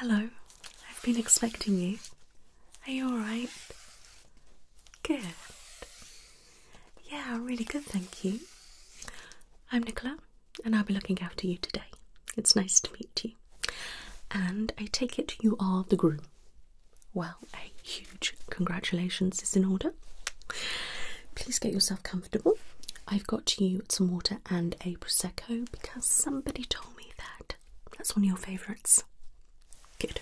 Hello, I've been expecting you. Are you alright? Good. Yeah, really good, thank you. I'm Nicola, and I'll be looking after you today. It's nice to meet you. And I take it you are the groom. Well, a huge congratulations is in order. Please get yourself comfortable. I've got you some water and a prosecco because somebody told me that that's one of your favourites. Good.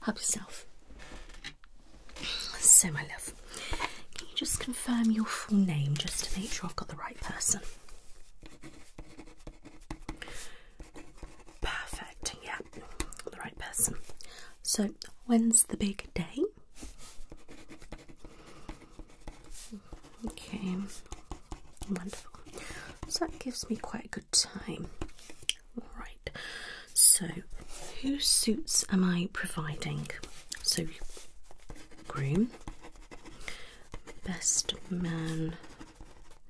Help yourself. So, my love, can you just confirm your full name just to make sure I've got the right person? Perfect, yeah, the right person. So, when's the big day? Okay, wonderful. So, that gives me quite a good time. Alright, so whose suits am I providing? So, groom, best man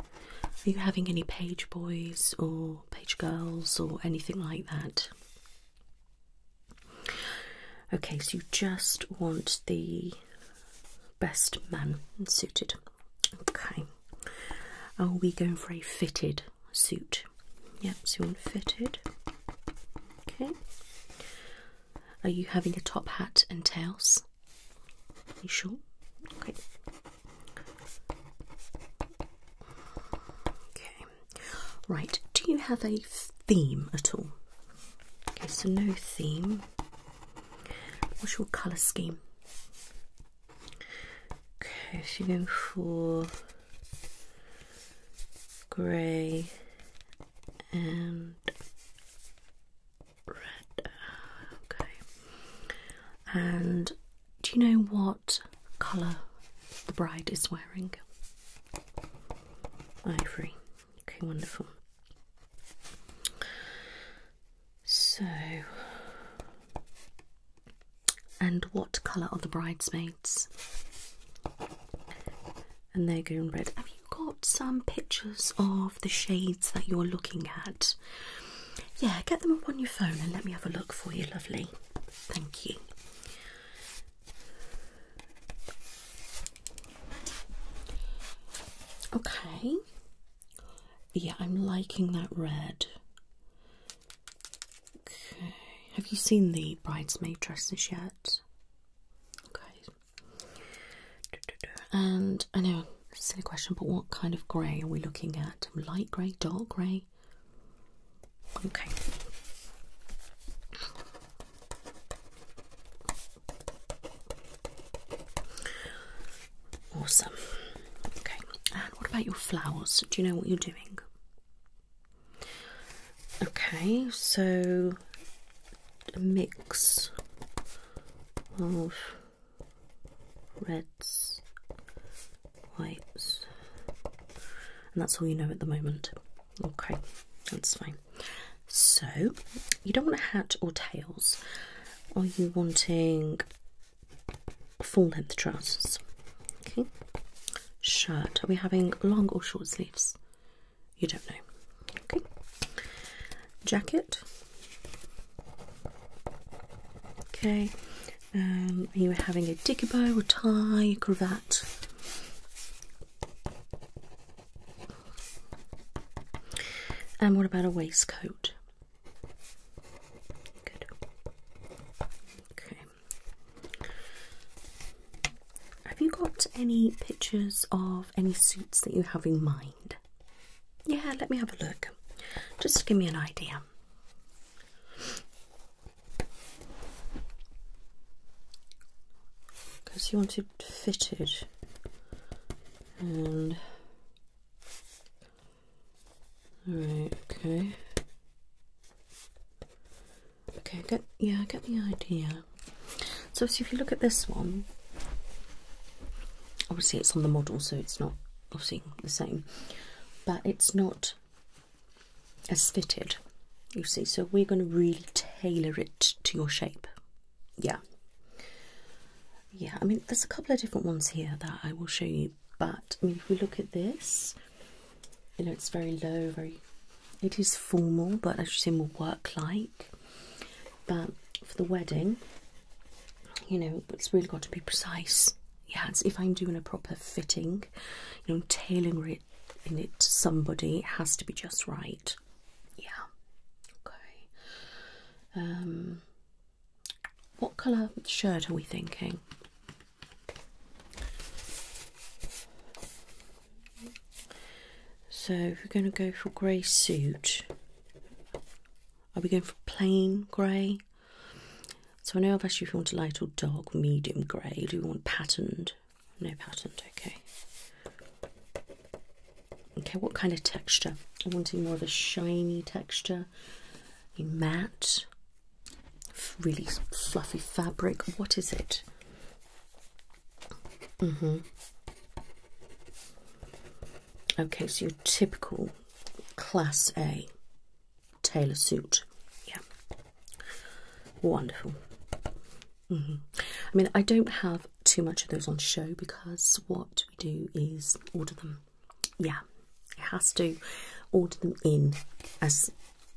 are you having any page boys or page girls or anything like that? Okay, so you just want the best man suited. Okay. Are we going for a fitted suit? Yep, so you want fitted. Okay. Are you having a top hat and tails? You sure? Okay. Okay. Right. Do you have a theme at all? Okay, so no theme. What's your colour scheme? Okay, so you're going for grey and red. Okay. And do you know what colour the bride is wearing? Ivory. Okay, wonderful. So, and what colour are the bridesmaids? And they're going red. Have you got some pictures of the shades that you're looking at? Yeah, get them up on your phone and let me have a look for you, lovely. Thank you. Okay. Yeah, I'm liking that red. Okay. Have you seen the bridesmaid dresses yet? Okay. And I know, silly question, but what kind of grey are we looking at? Light grey, dark grey? Okay. Awesome. Okay, and what about your flowers? Do you know what you're doing? Okay, so mix of reds, whites, and that's all you know at the moment. Okay, that's fine. So, you don't want a hat or tails. Are you wanting full length trousers? Okay. Shirt. Are we having long or short sleeves? You don't know. Okay jacket. Okay, um, you were having a dicky a tie, a cravat. And what about a waistcoat? Good. Okay. Have you got any pictures of any suits that you have in mind? Yeah, let me have a look. Just give me an idea. Because you wanted fitted and alright, okay. Okay, get yeah, I get the idea. So, so if you look at this one, Obviously, it's on the model, so it's not obviously the same, but it's not as fitted, you see. So, we're going to really tailor it to your shape, yeah. Yeah, I mean, there's a couple of different ones here that I will show you, but I mean, if we look at this, you know, it's very low, very it is formal, but as you see, more work like. But for the wedding, you know, but it's really got to be precise. Yeah, if I'm doing a proper fitting, you know, tailoring it in it to somebody, it has to be just right. Yeah. Okay. Um, what colour shirt are we thinking? So we're going to go for grey suit. Are we going for plain grey? So I know I've asked you if you want a light or dark, medium grey. Do you want patterned? No patterned, okay. Okay, what kind of texture? I'm wanting more of a shiny texture, a matte, really fluffy fabric. What is it? Mm-hmm. Okay, so your typical Class A tailor suit. Yeah, wonderful. Mm-hmm. I mean, I don't have too much of those on show because what we do is order them. Yeah, it has to order them in as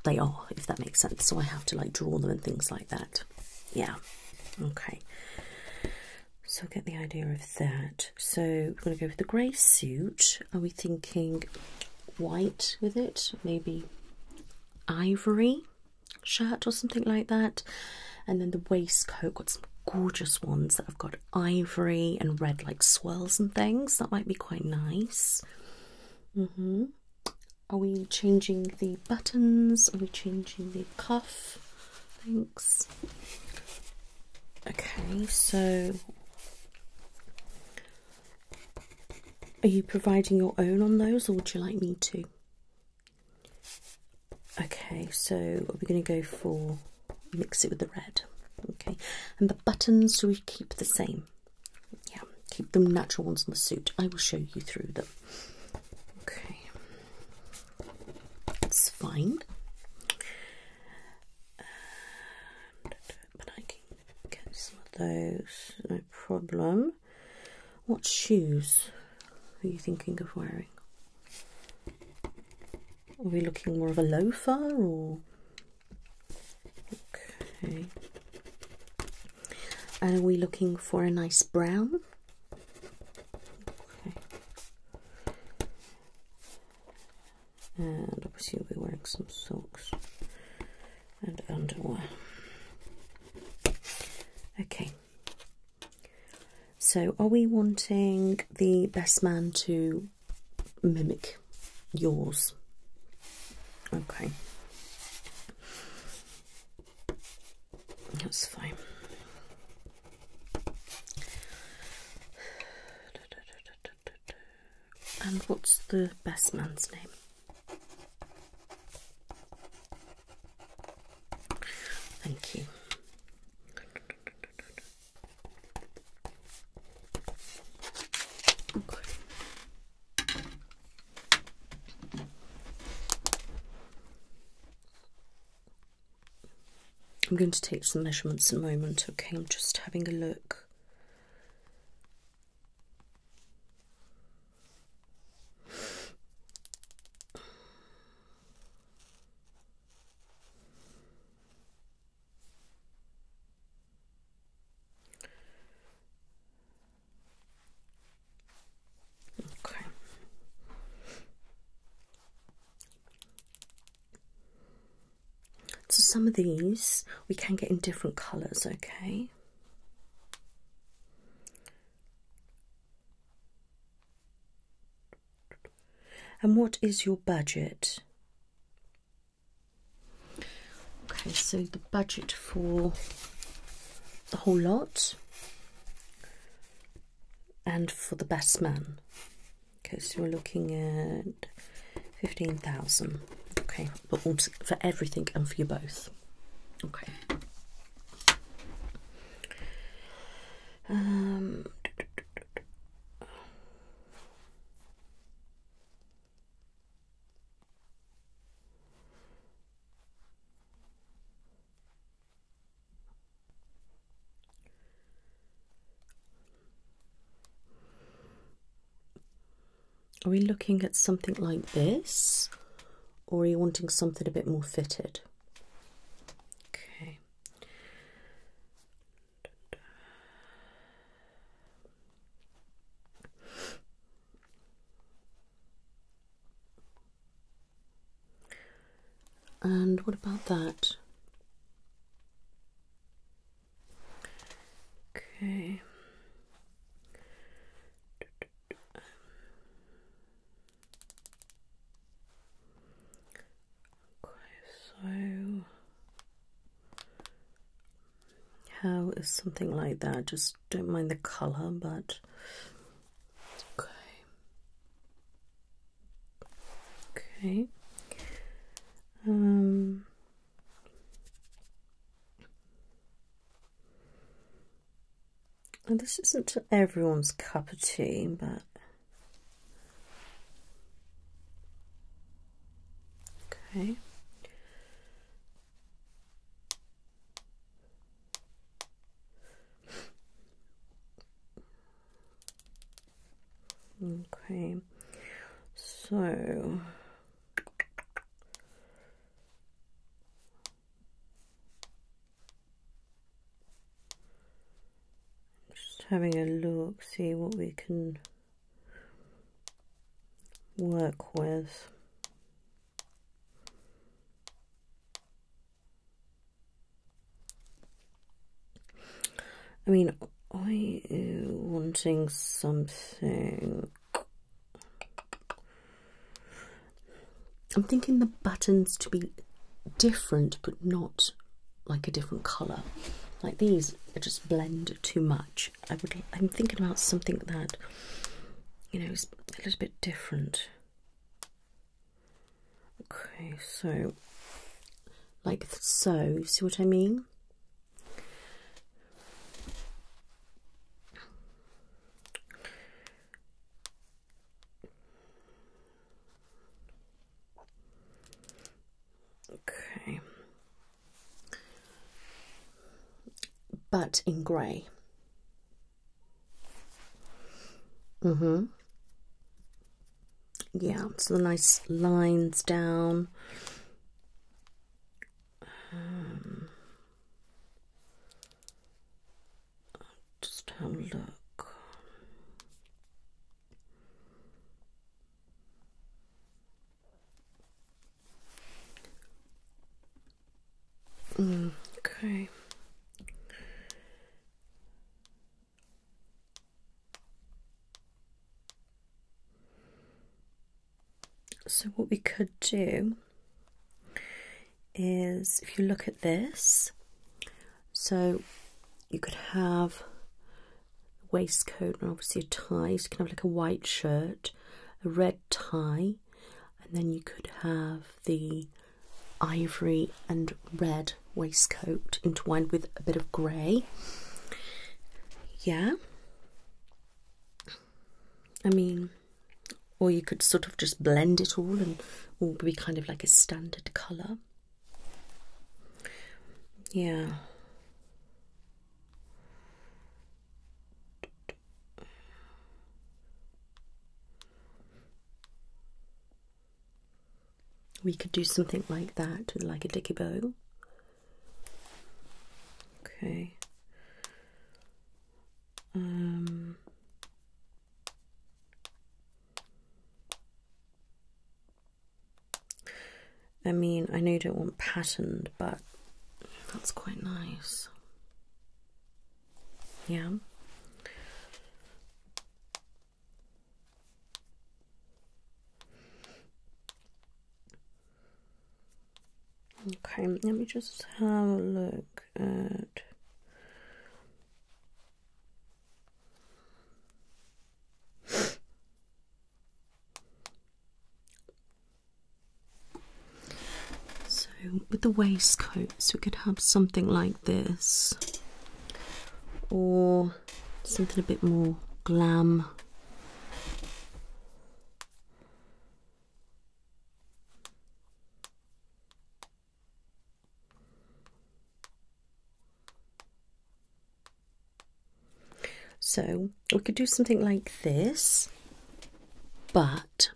they are, if that makes sense. So I have to like draw them and things like that. Yeah, okay. So get the idea of that. So we're going to go with the grey suit. Are we thinking white with it? Maybe ivory shirt or something like that. And then the waistcoat, got some gorgeous ones that have got ivory and red like swirls and things. That might be quite nice. Mm-hmm. Are we changing the buttons? Are we changing the cuff? Thanks. Okay, so are you providing your own on those or would you like me to? Okay, so we're going to go for mix it with the red. Okay, and the buttons do we keep the same? Yeah, keep them natural ones on the suit. I will show you through them. Okay. It's fine. but I can get some of those, no problem. What shoes are you thinking of wearing? Are we looking more of a loafer or? Okay. And are we looking for a nice brown? and obviously you'll be wearing some socks and underwear. Okay, so are we wanting the best man to mimic yours? Okay, that's fine. And what's the best man's name? Thank you. I'm going to take some measurements at a moment, okay? I'm just having a look. Okay. So some of these we can get in different colours, okay? And what is your budget? Okay, so the budget for the whole lot and for the best man because you're looking at 15,000 okay but for everything and for you both okay um, are we looking at something like this, or are you wanting something a bit more fitted? Okay. And what about that? Okay. Okay, so how is something like that? Just don't mind the colour, but okay. Okay. Um, and this isn't everyone's cup of tea, but okay. Okay, so just having a look, see what we can work with. I mean, I am wanting something. I'm thinking the buttons to be different, but not like a different colour. Like these, they just blend too much. I would. I'm thinking about something that, you know, is a little bit different. Okay, so like so, see what I mean? Okay. But in grey. Mm-hmm yeah, so the nice lines down. Um, just have a look. Mm, okay. So what we could do is if you look at this, so you could have waistcoat and obviously a tie, you can have like a white shirt, a red tie, and then you could have the ivory and red waistcoat intertwined with a bit of grey. Yeah. I mean, or you could sort of just blend it all and all be kind of like a standard colour. Yeah we could do something like that with like a dicky bow. Okay. Um I mean, I know you don't want patterned, but that's quite nice. Yeah. Okay, let me just have a look at. So, with the waistcoats, we could have something like this, or something a bit more glam. So we could do something like this, but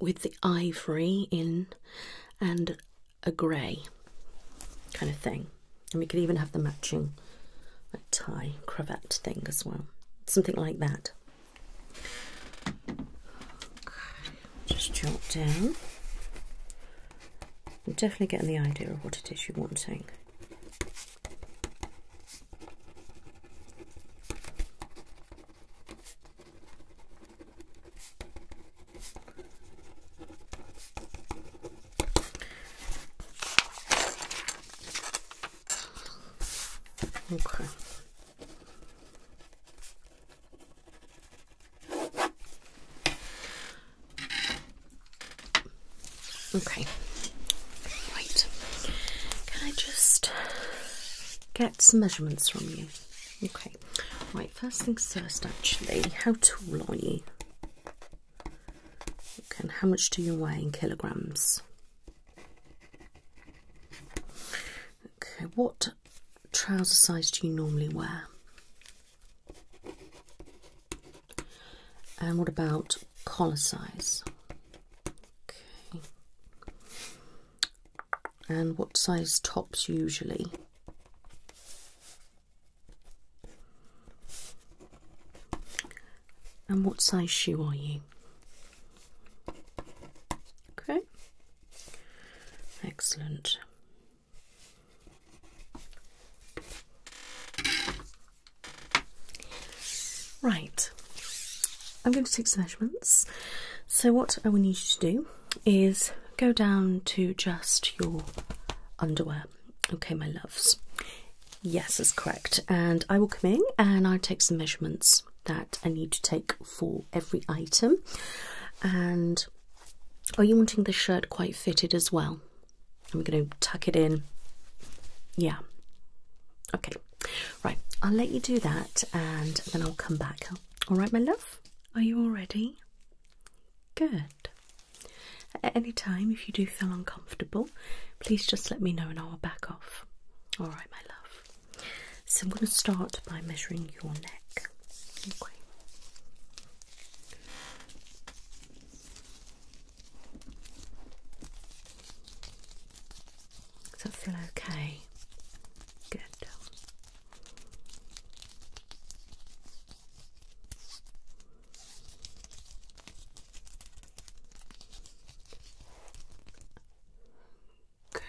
with the ivory in and a grey kind of thing. And we could even have the matching tie cravat thing as well. Something like that. just jot down. I'm definitely getting the idea of what it is you're wanting. Okay. Okay. Right. Can I just get some measurements from you? Okay. Right, first things first actually, how tall are you? Okay, and how much do you weigh in kilograms? Okay, what trouser size do you normally wear? And what about collar size? Okay. And what size tops usually? And what size shoe are you? Okay. Excellent. Right, I'm going to take some measurements. So, what I will need you to do is go down to just your underwear. Okay, my loves. Yes, that's correct. And I will come in and I'll take some measurements that I need to take for every item. And are you wanting the shirt quite fitted as well? I'm going to tuck it in. Yeah. Okay. Right. I'll let you do that and then I'll come back. All right, my love? Are you all ready? Good. At any time, if you do feel uncomfortable, please just let me know and I'll back off. All right, my love. So I'm going to start by measuring your neck. Does that feel okay? Good. Okay.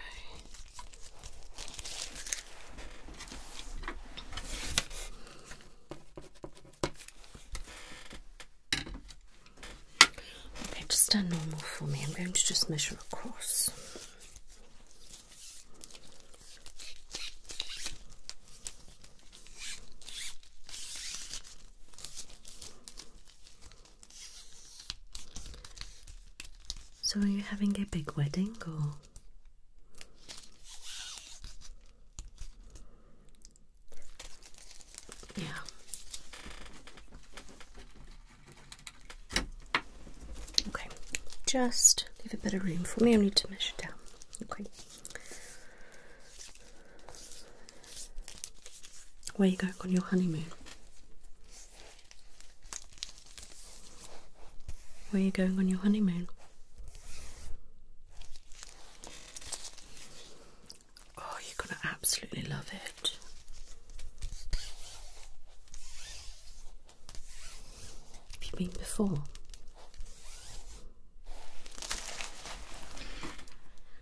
Okay, just stand normal for me. I'm going to just measure across. So, are you having a big wedding or? Yeah. Okay, just leave a bit of room for me. I need to measure down. Okay. Where you going on your honeymoon? Where you going on your honeymoon? Oh, you're gonna absolutely love it. Have you been before?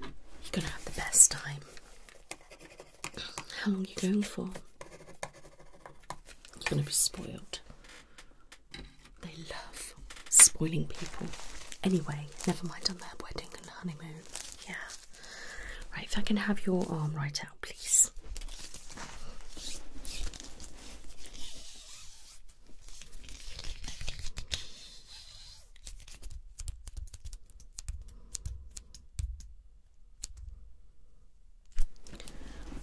You're gonna have the best time. How long you going for? You're gonna be spoiled. They love spoiling people. Anyway, never mind on their wedding and honeymoon. Yeah. Right, if I can have your arm right out, please this.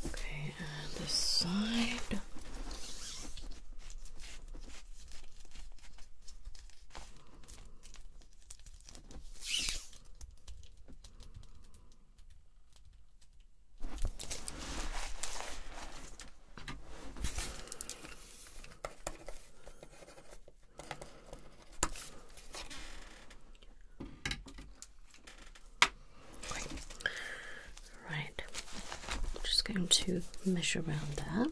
Okay, and this side. Okay. Right. I'm just going to mesh around that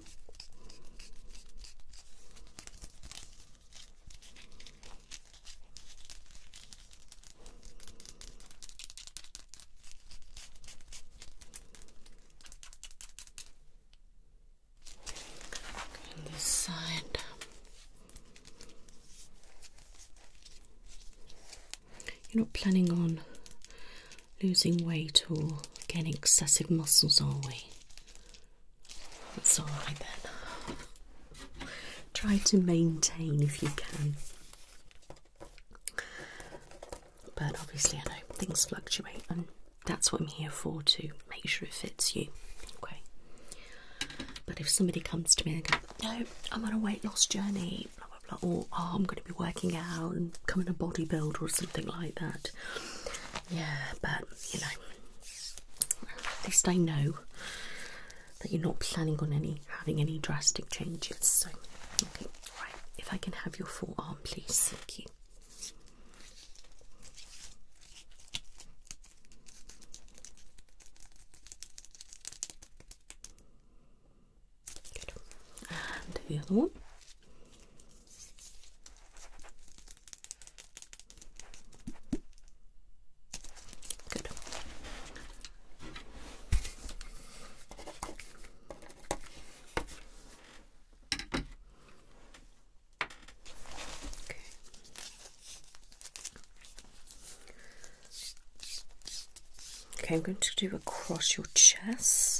this side. You're not planning on losing weight or gaining excessive muscles, are we? That's all right then. Try to maintain if you can. But obviously, I know things fluctuate, and that's what I'm here for to make sure it fits you. Okay. But if somebody comes to me and goes, No, I'm on a weight loss journey, blah blah blah, or oh, I'm going to be working out and coming a bodybuilder or something like that. Yeah, but you know, at least I know that you're not planning on any having any drastic changes. So, okay, right. If I can have your forearm, please. Thank you. And the other one. Okay. Okay, I'm going to do across your chest.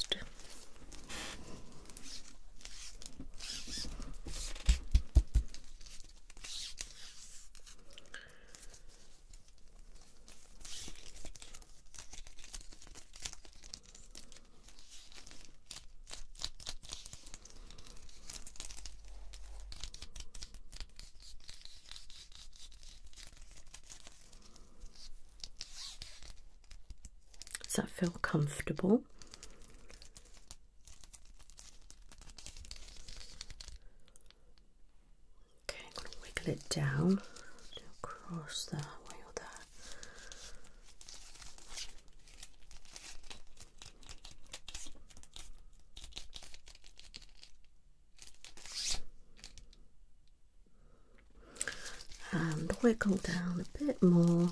Does that feel comfortable? Okay, I'm going to wiggle it down across that way or there. And wiggle down a bit more.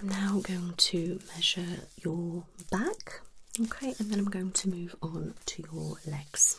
I'm now going to measure your back, okay, and then I'm going to move on to your legs.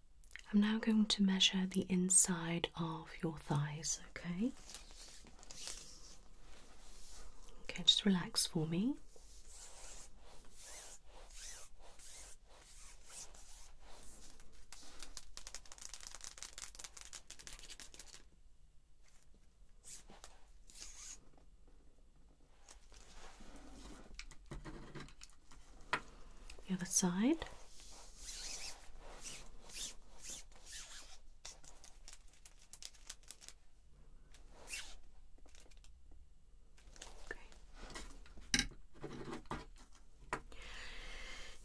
I'm now going to measure the inside of your thighs, okay? Okay, just relax for me. The other side. Okay.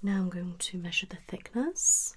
Now I'm going to measure the thickness.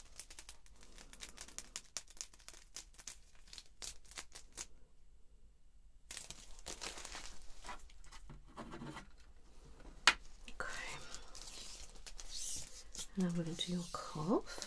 Okay. Now we're going to your cough.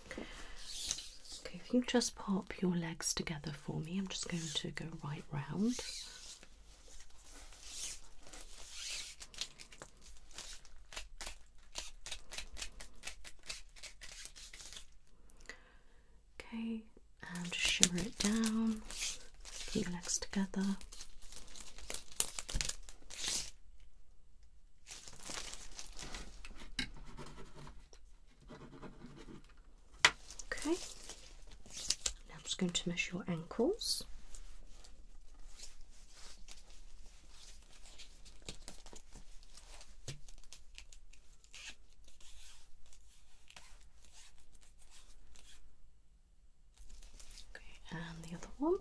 Okay, if you just pop your legs together for me, I'm just going to go right round. Okay, and just shimmer it down. Keep your legs together. Okay, now I'm going to measure your ankles. Okay, and the other one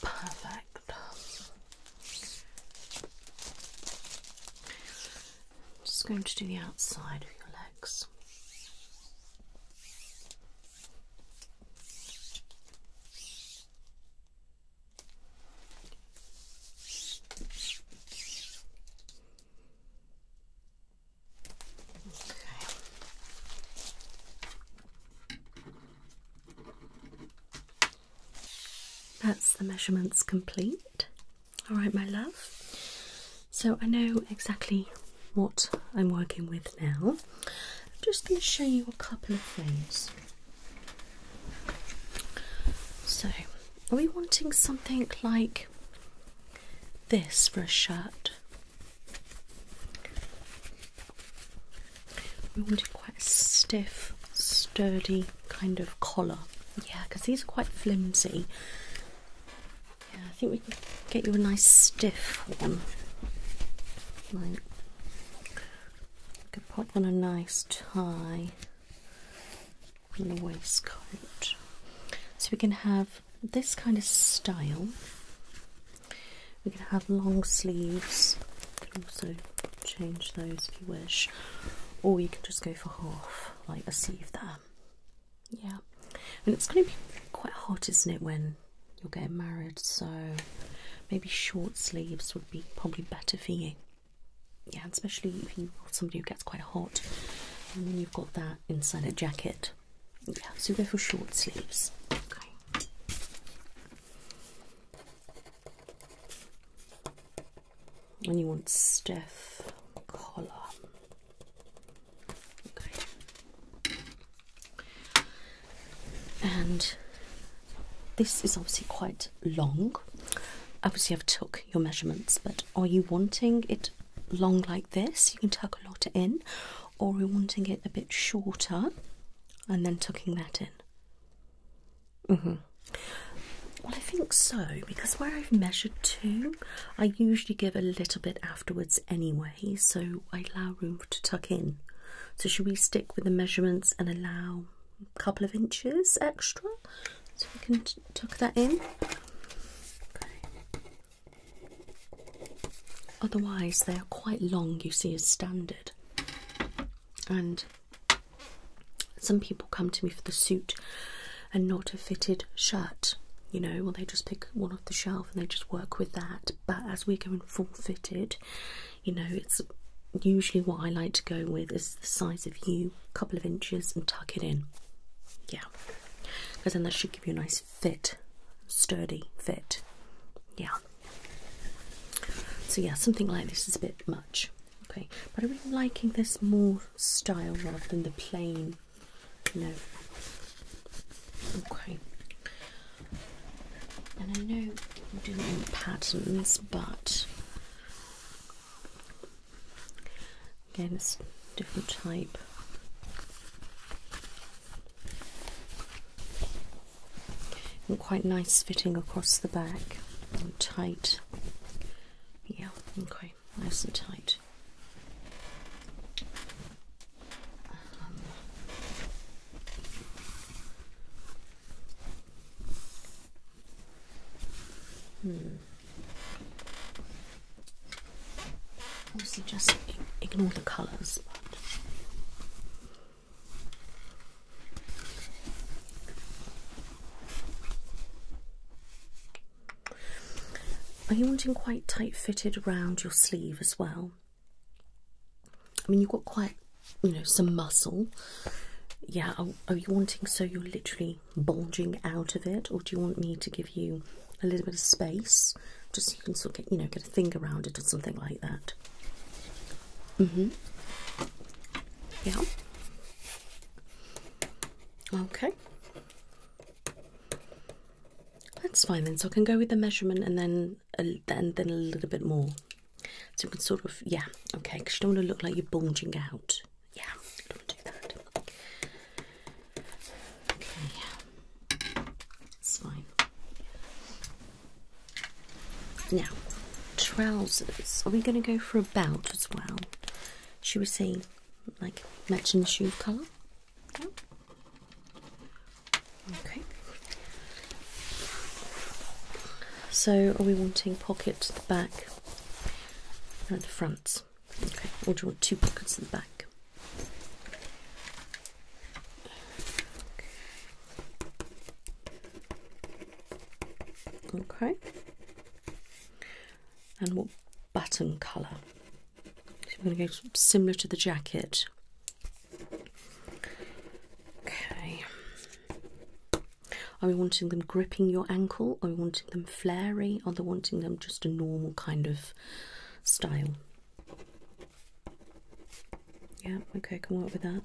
perfect. just going to do the outside of your legs. That's the measurements complete. All right, my love. So I know exactly what I'm working with now. I'm just going to show you a couple of things. So, are we wanting something like this for a shirt? We want a quite stiff, sturdy kind of collar. Yeah, because these are quite flimsy. Yeah, I think we can get you a nice stiff one. I could put on a nice tie on the waistcoat. So we can have this kind of style. We can have long sleeves. You can also change those if you wish. Or you can just go for half, like a sleeve there. Yeah. And it's going to be quite hot, isn't it, when you're getting married, so maybe short sleeves would be probably better for you. Yeah, especially if you're somebody who gets quite hot and then you've got that inside a jacket. Yeah, so go for short sleeves. Okay. And you want stiff collar and this is obviously quite long. Obviously, I've took your measurements, but are you wanting it long like this? You can tuck a lot in, or are you wanting it a bit shorter and then tucking that in? Mm hmm. Well, I think so because where I've measured to, I usually give a little bit afterwards anyway so I allow room to tuck in. So, should we stick with the measurements and allow a couple of inches extra so we can tuck that in? Otherwise, they are quite long, you see, as standard. And some people come to me for the suit and not a fitted shirt you know, well, they just pick one off the shelf and they just work with that. But as we're going full fitted, you know it's usually what I like to go with is the size of you, a couple of inches, and tuck it in. Yeah, because then that should give you a nice fit, sturdy fit. Yeah. So yeah, something like this is a bit much. Okay, but I'm really liking this more style rather than the plain, you know, Okay. And I know we do need patterns, but again, it's different type. And quite nice fitting across the back tight. Yeah, okay, nice and tight. Um, Hmm. Also, just ignore the colours. are you wanting quite tight fitted around your sleeve as well? I mean, you've got quite, you know, some muscle. Yeah, are, you wanting so you're literally bulging out of it, or do you want me to give you a little bit of space just so you can sort of get, you know, get a thing around it or something like that? Mm hmm. Yeah. Okay. That's fine then. So I can go with the measurement and then and then a little bit more so you can sort of yeah okay because you don't want to look like you're bulging out yeah don't do that okay it's fine now trousers are we going to go for a belt as well should we say like matching shoe colour Okay. So are we wanting pockets at the back and at the front? Okay, or do you want two pockets at the back? Okay. And what button colour? So I'm going to go similar to the jacket, Okay. Are we wanting them gripping your ankle? Are we wanting them flary? Are we wanting them just a normal kind of style? Yeah, okay, can work with that.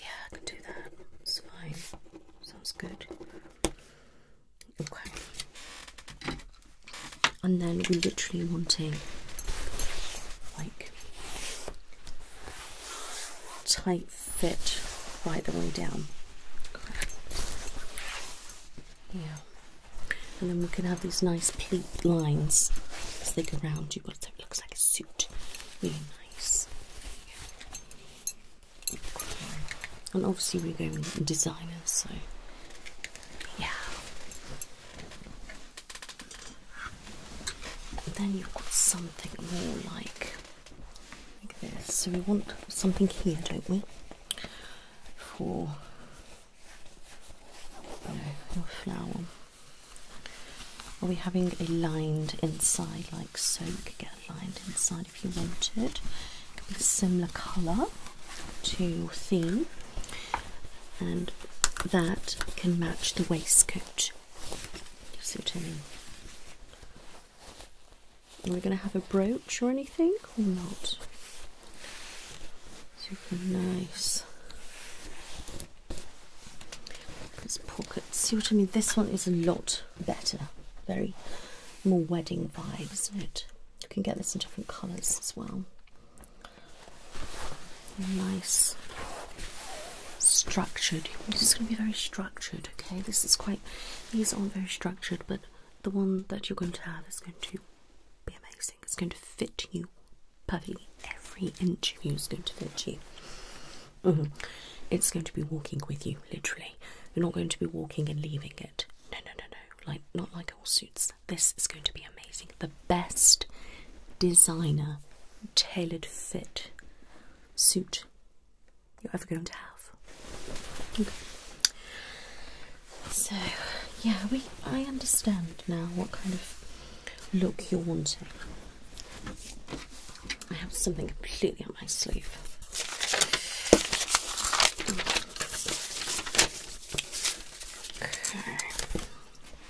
Yeah, I can do that. It's fine. Sounds good. Okay and then we're literally wanting like tight fit right the way down. Yeah. And then we can have these nice pleat lines stick around. you, but so it looks like a suit. Really nice. And obviously we're going designer, so yeah then you've got something more like, this. So we want something here, don't we? For you your flower. Are we having a lined inside like so? You could get a lined inside if you wanted. It be similar colour to your theme and that can match the waistcoat. See what I mean? Are we going to have a brooch or anything or not? Super nice. This pocket, see what I mean? This one is a lot better. Very more wedding vibes, isn't it? You can get this in different colours as well nice structured. This is going to be very structured, okay? This is quite, these aren't very structured, but the one that you're going to have is going to be amazing. It's going to fit you perfectly. Every inch of you is going to fit you. Mm-hmm. It's going to be walking with you, literally. You're not going to be walking and leaving it. No, no, no, no. Like, not like all suits this. is going to be amazing. The best designer tailored fit suit you're ever going to have. So, yeah, we I understand now what kind of look you're wanting. I have something completely on my sleeve.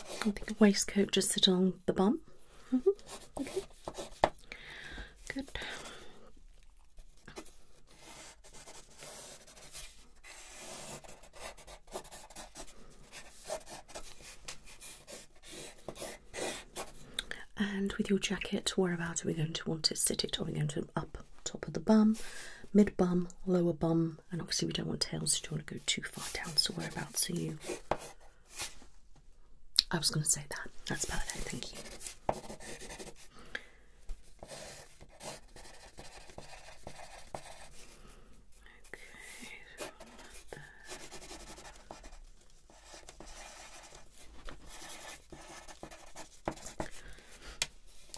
I think a waistcoat just sits on the bum. Mm-hmm. Okay. Good. And with your jacket, whereabouts are we going to want to Sit it? Are we going to up top, of the bum, mid bum, lower bum, and obviously we don't want tails, you don't want to go too far down. So whereabouts are you? I was going to say that. That's perfect. Thank you. Okay.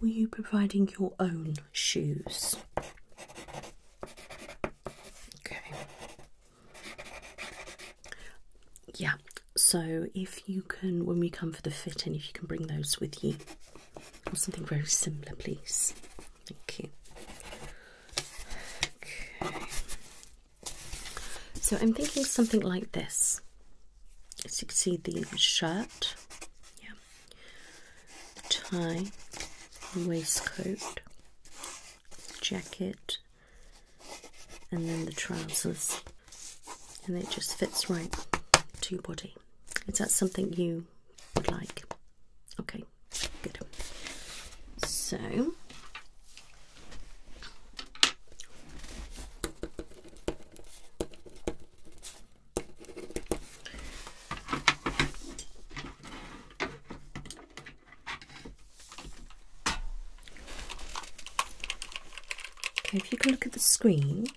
Were you providing your own shoes. Okay. Yeah, so if you can, when we come for the fitting, if you can bring those with you or something very similar, please. Thank you. Okay. So I'm thinking something like this. As you can see, the shirt. Yeah tie, waistcoat, jacket, and then the trousers, and it just fits right to your body. Is that something you would like? Okay, good. So. Okay, if you can look at the screen.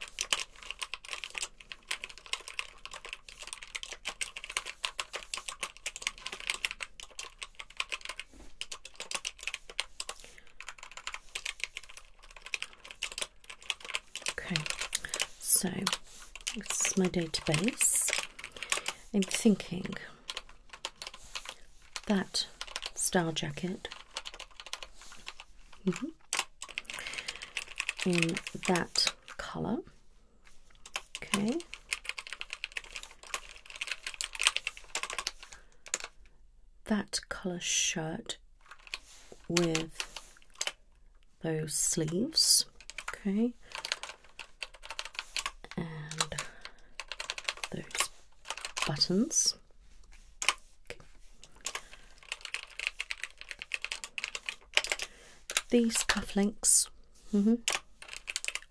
Okay, so this is my database. I'm thinking that star jacket mm in that colour. Okay. That colour shirt with those sleeves. Okay. And those buttons. These cufflinks. Mm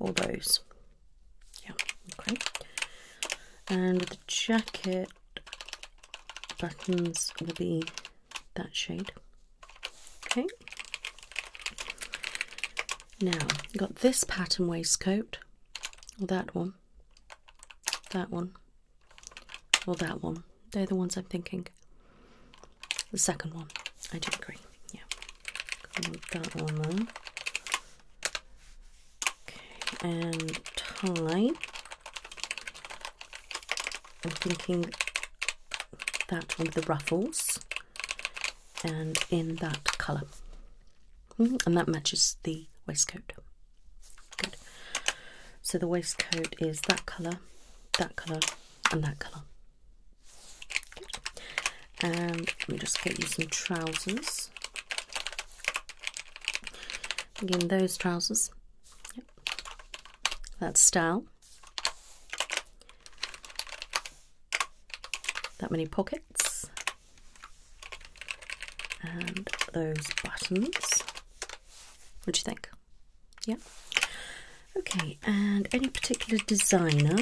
All those. Yeah. Okay. And the jacket buttons will be that shade. Okay. Now, got this pattern waistcoat, or that one, that one, or that one. They're the ones I'm thinking. The second one, I do agree. Yeah, that one on. Okay, and tie. I'm thinking that with the ruffles and in that colour. Hmm, and that matches the waistcoat. Good. So the waistcoat is that colour, that colour, and that colour. Good. And let me just get you some trousers. Again, those trousers. Yep. That's style. That many pockets. And those buttons. What do you think? Yeah? Okay, and any particular designer?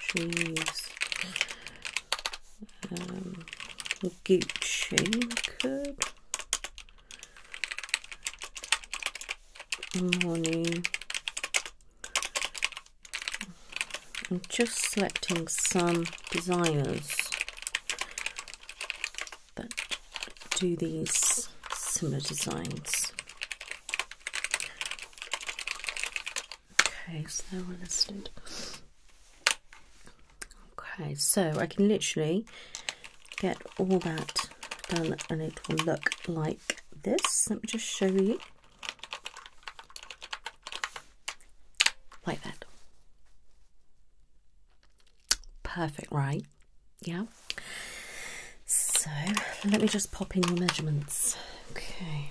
Shoes. Um, Gucci morning. I'm just selecting some designers that do these similar designs. Okay, so they're all listed. Okay, so I can literally get all that done and it will look like this. Let me just show you. Like that. Perfect, right? Yeah. So let me just pop in your measurements. Okay.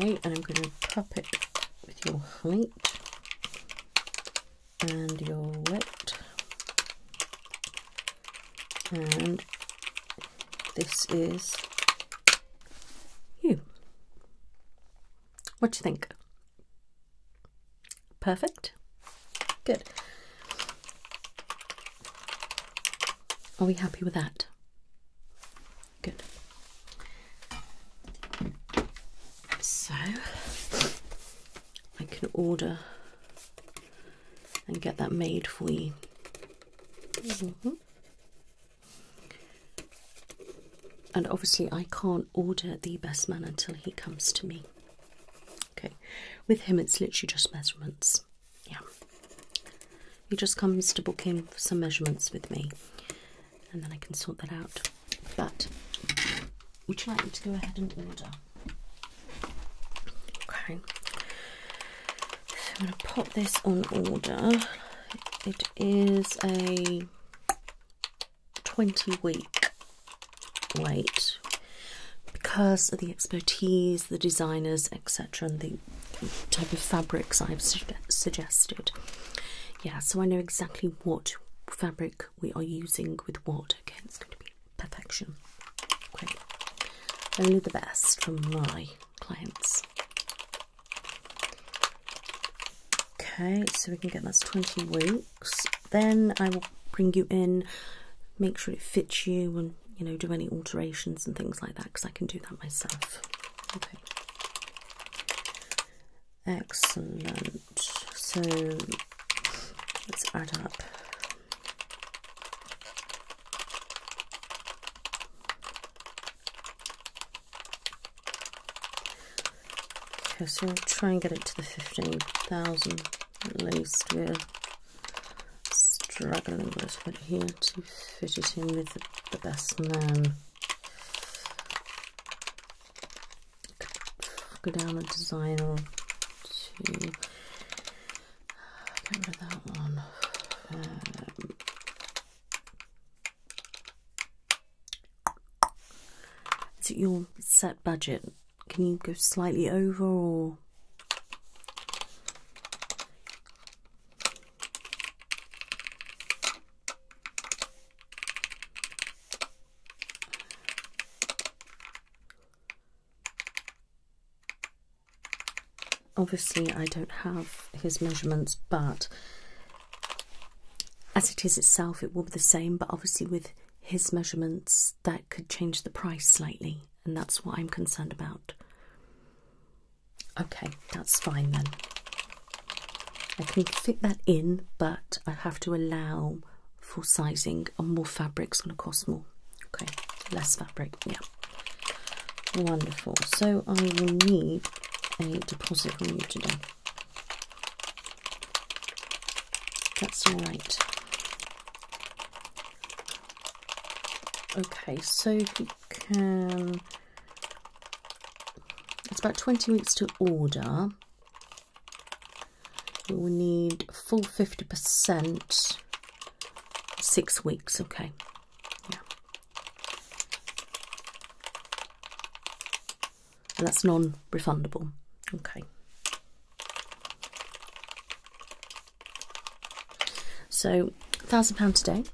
Okay, and I'm going to pop it with your height and your weight. And this is you. What do you think? Perfect? Good. Are we happy with that? Good. So, I can order and get that made for you. Mm-hmm. And obviously, I can't order the best man until he comes to me. Okay, with him, it's literally just measurements. Yeah, he just comes to book in for some measurements with me, and then I can sort that out. But would you like me to go ahead and order? Okay, I'm going to pop this on order. It is a 20 week wait because of the expertise, the designers, etc., and the type of fabrics I've suggested. Yeah, so I know exactly what fabric we are using with what. Okay, it's going to be perfection. Great. Only the best from my clients. Okay, so we can get that's 20 weeks. Then I will bring you in, make sure it fits you and, you know, do any alterations and things like that because I can do that myself. Excellent. So let's add up. Okay, so we'll try and get it to the 15,000 at least. We're struggling with little bit here to fit it in with the, best man. Go down the design or two. Get rid of that one. Um, is it your set budget? Can you go slightly over or? Obviously, I don't have his measurements, but as it is itself, it will be the same, but obviously with his measurements, that could change the price slightly, and that's what I'm concerned about. Okay, that's fine then. I can fit that in, but I have to allow for sizing, and more is going to cost more. Okay, less fabric, yeah. Wonderful. So I will need a deposit from you today. That's all right. Okay, so you can. It's about 20 weeks to order. We will need full 50%, six weeks, okay. Yeah. And that's non refundable. Okay. So, £1,000 a day.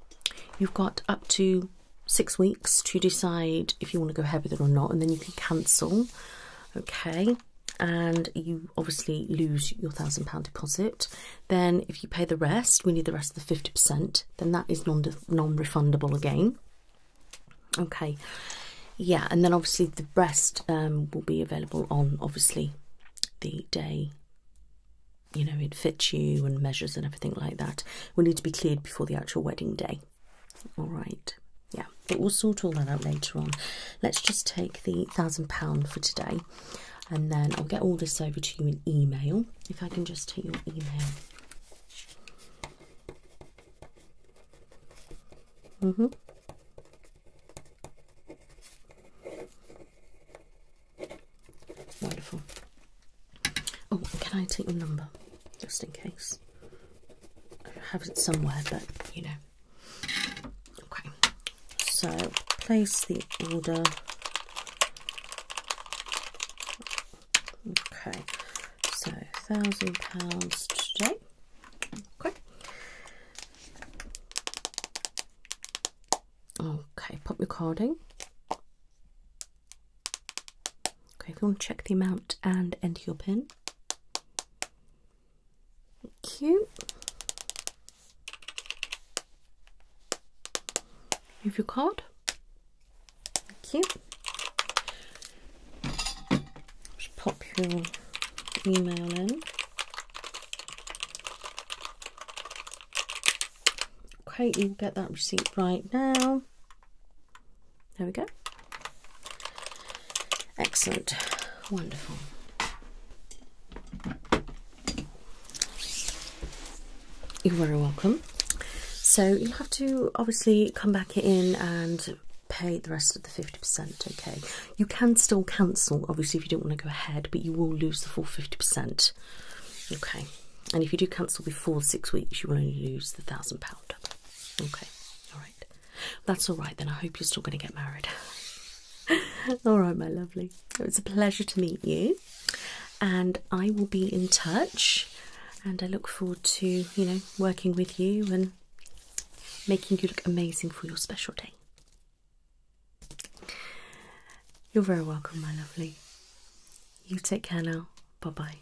You've got up to six weeks to decide if you want to go ahead with it or not, and then you can cancel. Okay. And you obviously lose your £1,000 deposit. Then, if you pay the rest, we need the rest of the 50% then that is non refundable again. Okay, yeah, and then obviously the breast um, will be available on obviously the day. You know, it fits you and measures and everything like that. Will need to be cleared before the actual wedding day. All right, yeah, but we'll sort all that out later on. Let's just take the thousand pound for today, and then I'll get all this over to you in email. If I can just take your email Mm-hmm. Wonderful. Oh, can I take your number? Just in case. I have it somewhere, but you know. Okay. So place the order Okay, so thousand pounds today. Okay. pop recording. Okay, if you want to check the amount and enter your pin. Thank you. Move your card. Thank you. Just pop your email in. Okay, you get that receipt right now. There we go. Excellent. Wonderful. You're very welcome. So you have to obviously come back in and pay the rest of the 50%, okay? You can still cancel, obviously, if you don't want to go ahead, but you will lose the full 50%, okay? And if you do cancel before six weeks, you will only lose the £1,000, okay? All right. That's all right, then. I hope you're still going to get married. all right, my lovely. It was a pleasure to meet you and I will be in touch. And I look forward to you know working with you and making you look amazing for your special day. You're very welcome, my lovely. You take care now. Bye bye.